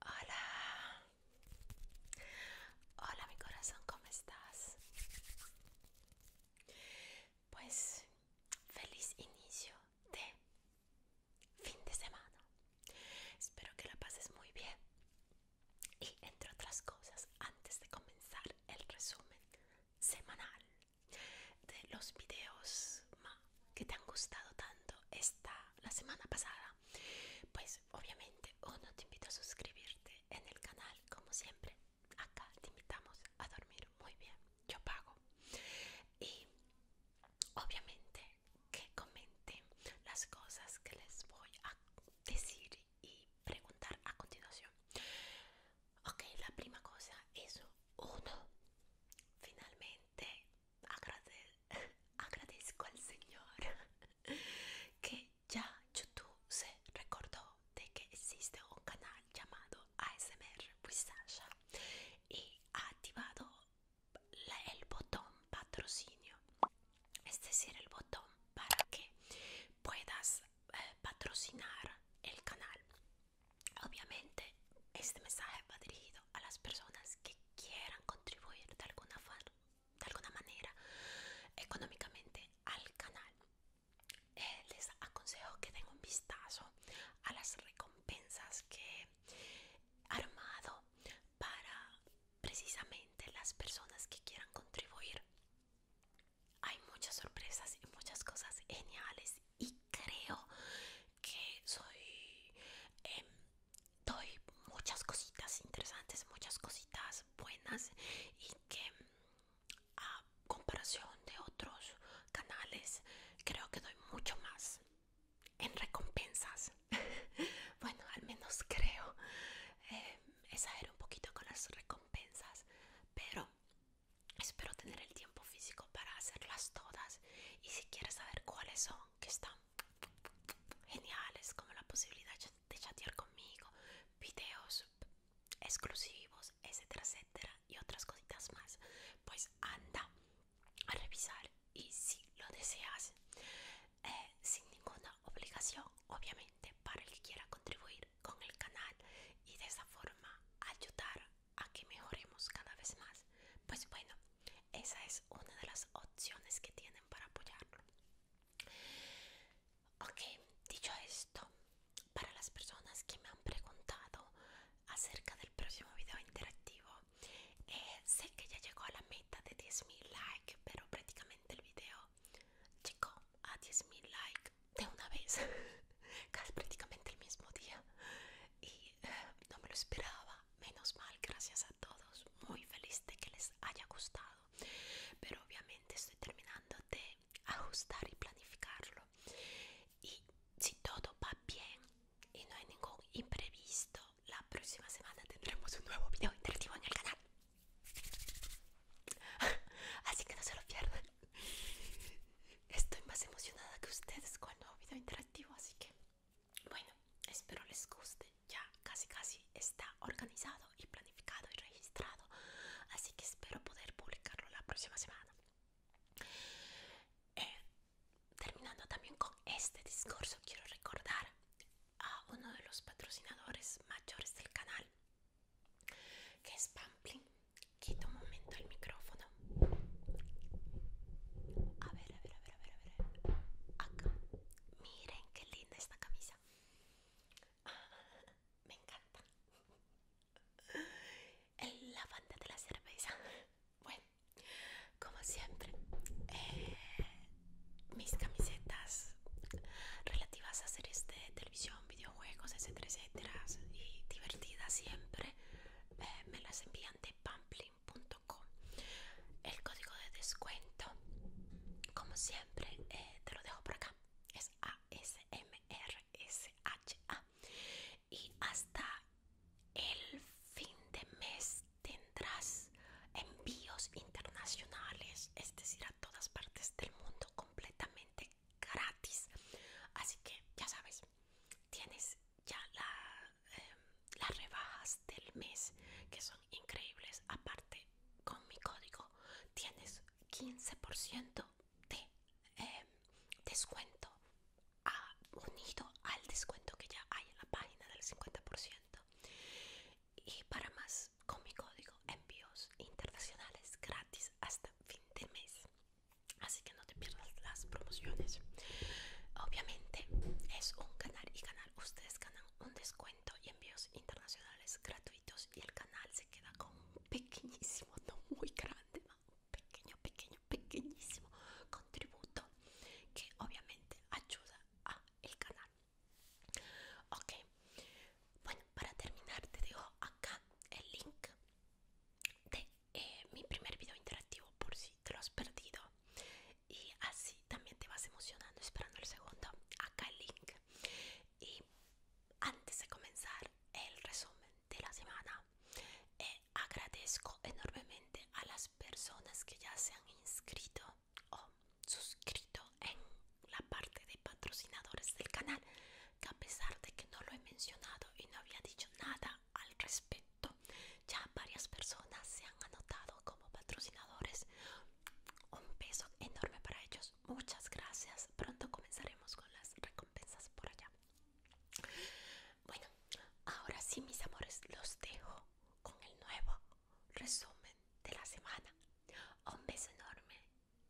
Hola, hola mi corazón, ¿cómo estás? Pues feliz inicio de fin de semana. Espero que la pases muy bien. Y entre otras cosas, antes de comenzar el resumen semanal de los videos que te han gustado tanto esta la semana pasada pues obviamente uno te invito a suscribirte en el canal como siempre acá te invitamos a dormir muy bien yo pago y obviamente que comenten las cosas que les voy a decir y preguntar a continuación ok la primera cosa es uno finalmente agradezco al Señor que ya YouTube se recordó de que existe un canal llamado ASMR with y ha activado el botón patrocinio, es decir, el botón para que puedas eh, patrocinar el canal. Obviamente, este mensaje va dirigido a las personas que quieran contribuir de alguna, de alguna manera económicamente al canal. Eh, les aconsejo que den un vistazo a las recompensas que he armado para precisamente las personas que quieran contribuir. Hay muchas sorpresas y muchas cosas geniales y creo que soy em, doy muchas cositas interesantes, muchas cositas buenas y que mm, a comparación de otros canales creo que doy mucho más en recompensas. bueno, al menos creo. Eh, un poquito con las recompensas, pero espero tener el tiempo físico para hacerlas todas. Y si quieres saber cuáles son, que están geniales como la posibilidad de chatear conmigo, videos exclusivos, etcétera, etcétera, y otras cositas más, pues anda a revisar y si lo deseas, eh, sin ninguna obligación, obviamente, para el que quiera contribuir con el canal y de esa forma ayudar a que mejoremos cada vez más. Pues bueno, esa es una de las opciones que tienen para apoyarlo. Ok, dicho esto, para las personas que me han preguntado acerca del próximo video interactivo, eh, sé que ya llegó a la meta de 10.000 likes, pero prácticamente el video llegó a 10.000 likes de una vez, casi prácticamente el mismo día, y eh, no me lo esperaba menos mal, gracias a todos. Muy feliz de que les haya gustado. Pero obviamente estoy terminando de ajustar y planificarlo. Y si todo va bien y no hay ningún imprevisto, la próxima semana tendremos un nuevo video interactivo en el canal. Así que no se lo pierdan. Estoy más emocionada que ustedes con el nuevo video interactivo, así que bueno, espero les guste. Ya casi casi está organizado y planificado y registrado. Así que espero poder publicarlo la próxima semana. Eh, terminando también con este discurso, quiero recordar a uno de los patrocinadores mayores del canal, que es Pamplin. Quito un momento el micrófono. A a ver, a ver, a ver, a ver. Acá. Miren qué linda esta camisa. Me encanta. El, la de la cerveza. Bueno, como siempre, eh, mis camisetas relativas a series de televisión, videojuegos, etcétera, etcétera, y divertidas siempre, eh, me las envían de pamplin el código de descuento, como siempre, eh, te lo dejo por acá. Es ASMRSHA. Y hasta el fin de mes tendrás envíos internacionales, es decir, a todas partes del mundo completamente gratis. Así que ya sabes, tienes ya la las rebajas del mes que son increíbles aparte con mi código tienes 15% de em, descuento unido al descuento que ya hay en la página del 50% y para más con mi código envíos internacionales gratis hasta fin de mes así que no te pierdas las promociones obviamente es un canal y canal ustedes ganan un descuento y envíos internacionales gratuitos y el canal se queda con un pequeñísimo, no muy grande, un pequeño, pequeño, pequeñísimo contributo que obviamente ayuda a el canal. Ok, bueno, para terminar te dejo acá el link de eh, mi primer video interactivo por si te lo has perdido y así también te vas emocionando esperando el segundo acá el link y antes de comenzar el resumen de la semana eh, agradezco enormemente a las personas que ya se han inscrito o suscrito en la parte de patrocinadores del canal que a pesar de que no lo he mencionado y no había dicho nada al respecto ya varias personas se anotado como patrocinadores. Un beso enorme para ellos. Muchas gracias. Pronto comenzaremos con las recompensas por allá. Bueno, ahora sí, mis amores, los dejo con el nuevo resumen de la semana. Un beso enorme.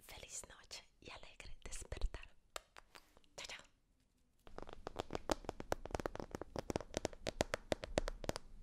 Feliz noche y alegre despertar. chao.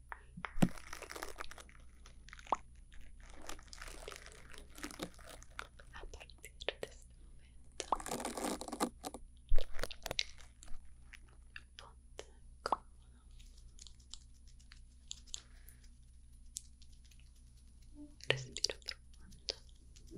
A partir de este momento, ponte cómodo. respira profundo. Siente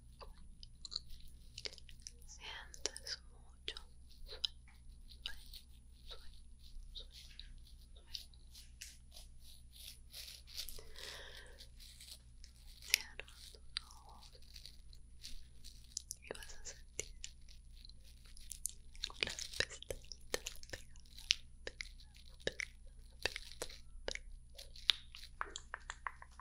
Sientes mucho sueño, sueño, sueño, sueño, sueño Cierra tus ojos y vas a sentir las pestañitas pegadas, pegadas, pegadas, pegadas, pegadas.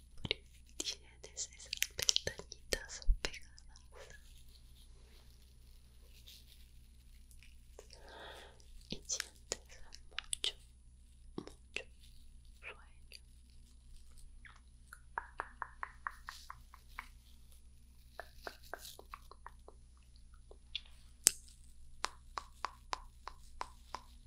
porque tienes esas pestañitas pegadas y sientes mucho, mucho sueño.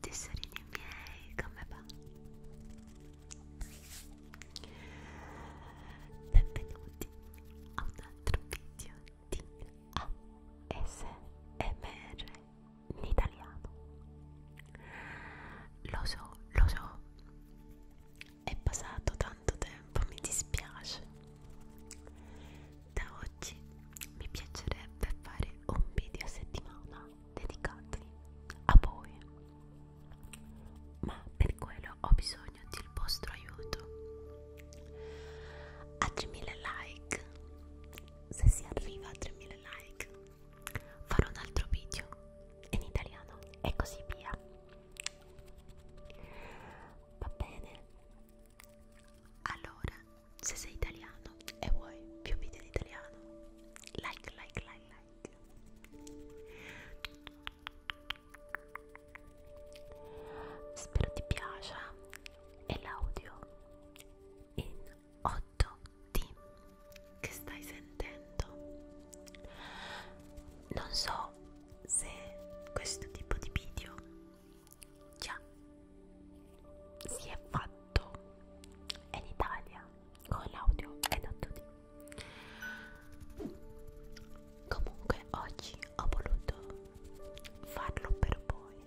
Tessorini miei, come va? Benvenuti a un altro video ASMR in italiano. Lo so, lo so, è passato tanto tempo, mi dispiace. Da oggi mi piacerebbe fare un video a settimana dedicato a voi, ma per quello ho bisogno del vostro aiuto. A 3000 like se si arriva a 3000 like farò un altro video in italiano e così via va bene allora se sei italiano e vuoi più video in italiano like like like like spero ti piaccia e l'audio in 8D che stai sentendo. Non so se questo tipo di video già si è fatto in Italia con l'audio ed 8D. Comunque oggi ho voluto farlo per voi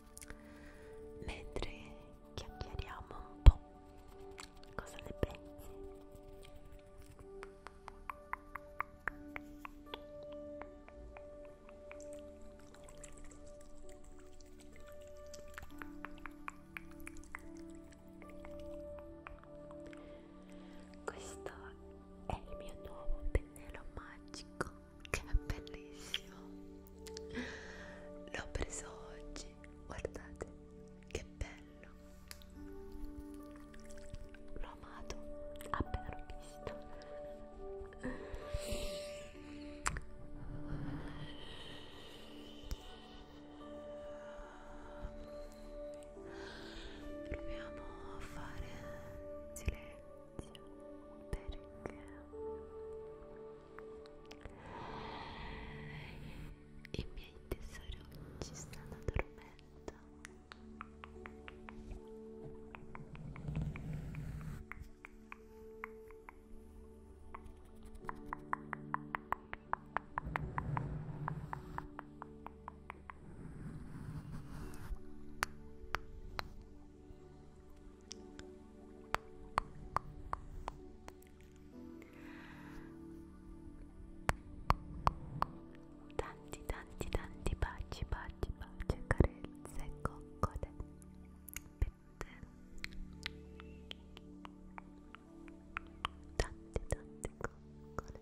mentre chiacchieriamo un po' cosa ne pensi? Questo è il mio nuovo pennello magico che è bellissimo l'ho preso oggi guardate che bello l'ho amato appena l'ho visto proviamo a fare silenzio perché i miei tesorucci stanno dormendo Buonanotte tanti tanti tanti baci baci baci carezze coccole tanti tanti coccole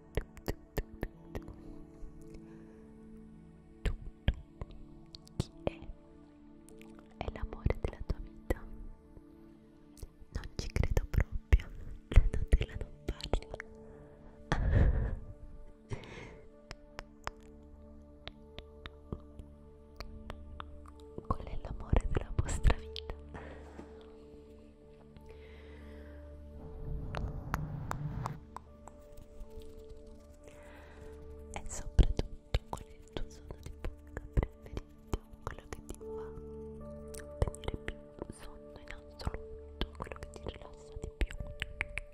tu, tu, chi è? È l'amore della tua vita? Non ci credo proprio, la Nutella non parla. Qual è l'amore della vostra vita? e soprattutto qual è il tuo suono di bocca preferito quello che ti fa tenere più sonno in assoluto quello che ti rilassa di più Ecco,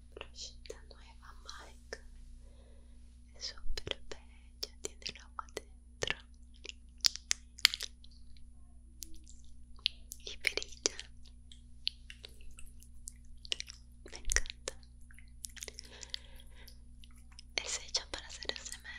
brush nueva Mike es súper bella tiene el agua dentro y brilla me encanta es hecha para hacer SMR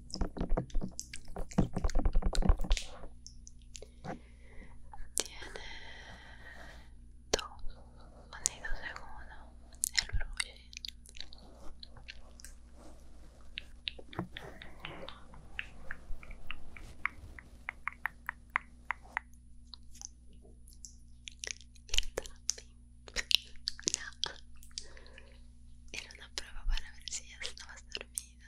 Tiene dos sonidos de uno, el ruido Y Era una prueba para ver si ya estabas dormida.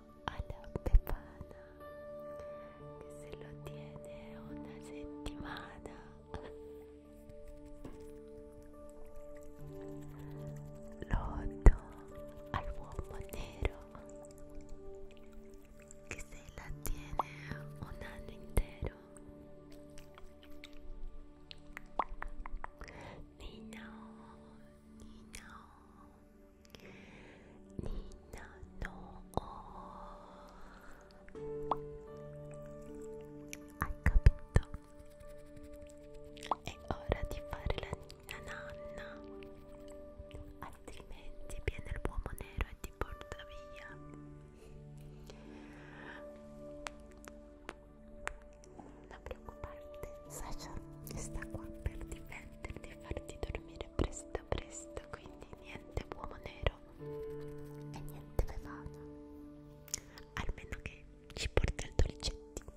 a la Pepana que se lo tiene una semana Loto al bombonero que se la tiene un año entero Nino, Nino Nina no oh. Hai capito? È ora di fare la nina nanna Altrimenti viene il uomo nero e ti porta via non preoccuparti, Sasha sta qua per difenderti e farti dormire presto presto presto quindi niente uomo nero e niente bevana almeno che ci porta il dolcetti Ciao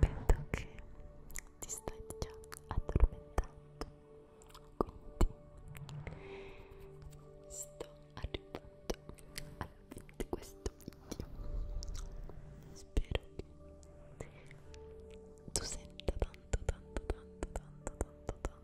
Vedo che ti stai già addormentando, quindi sto arrivando al fine di questo video. Spero che tu senta tanto, tanto, tanto, tanto, tanto, tanto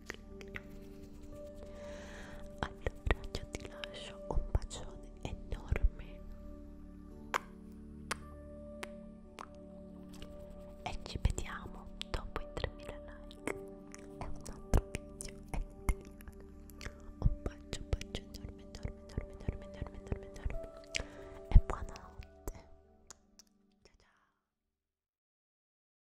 Allora io ti lascio un bacione enorme e ci vediamo dopo i 3000 like e un altro video e un bacio, un bacio enorme, enorme, enorme, enorme, enorme, enorme, enorme. e buonanotte ciao ciao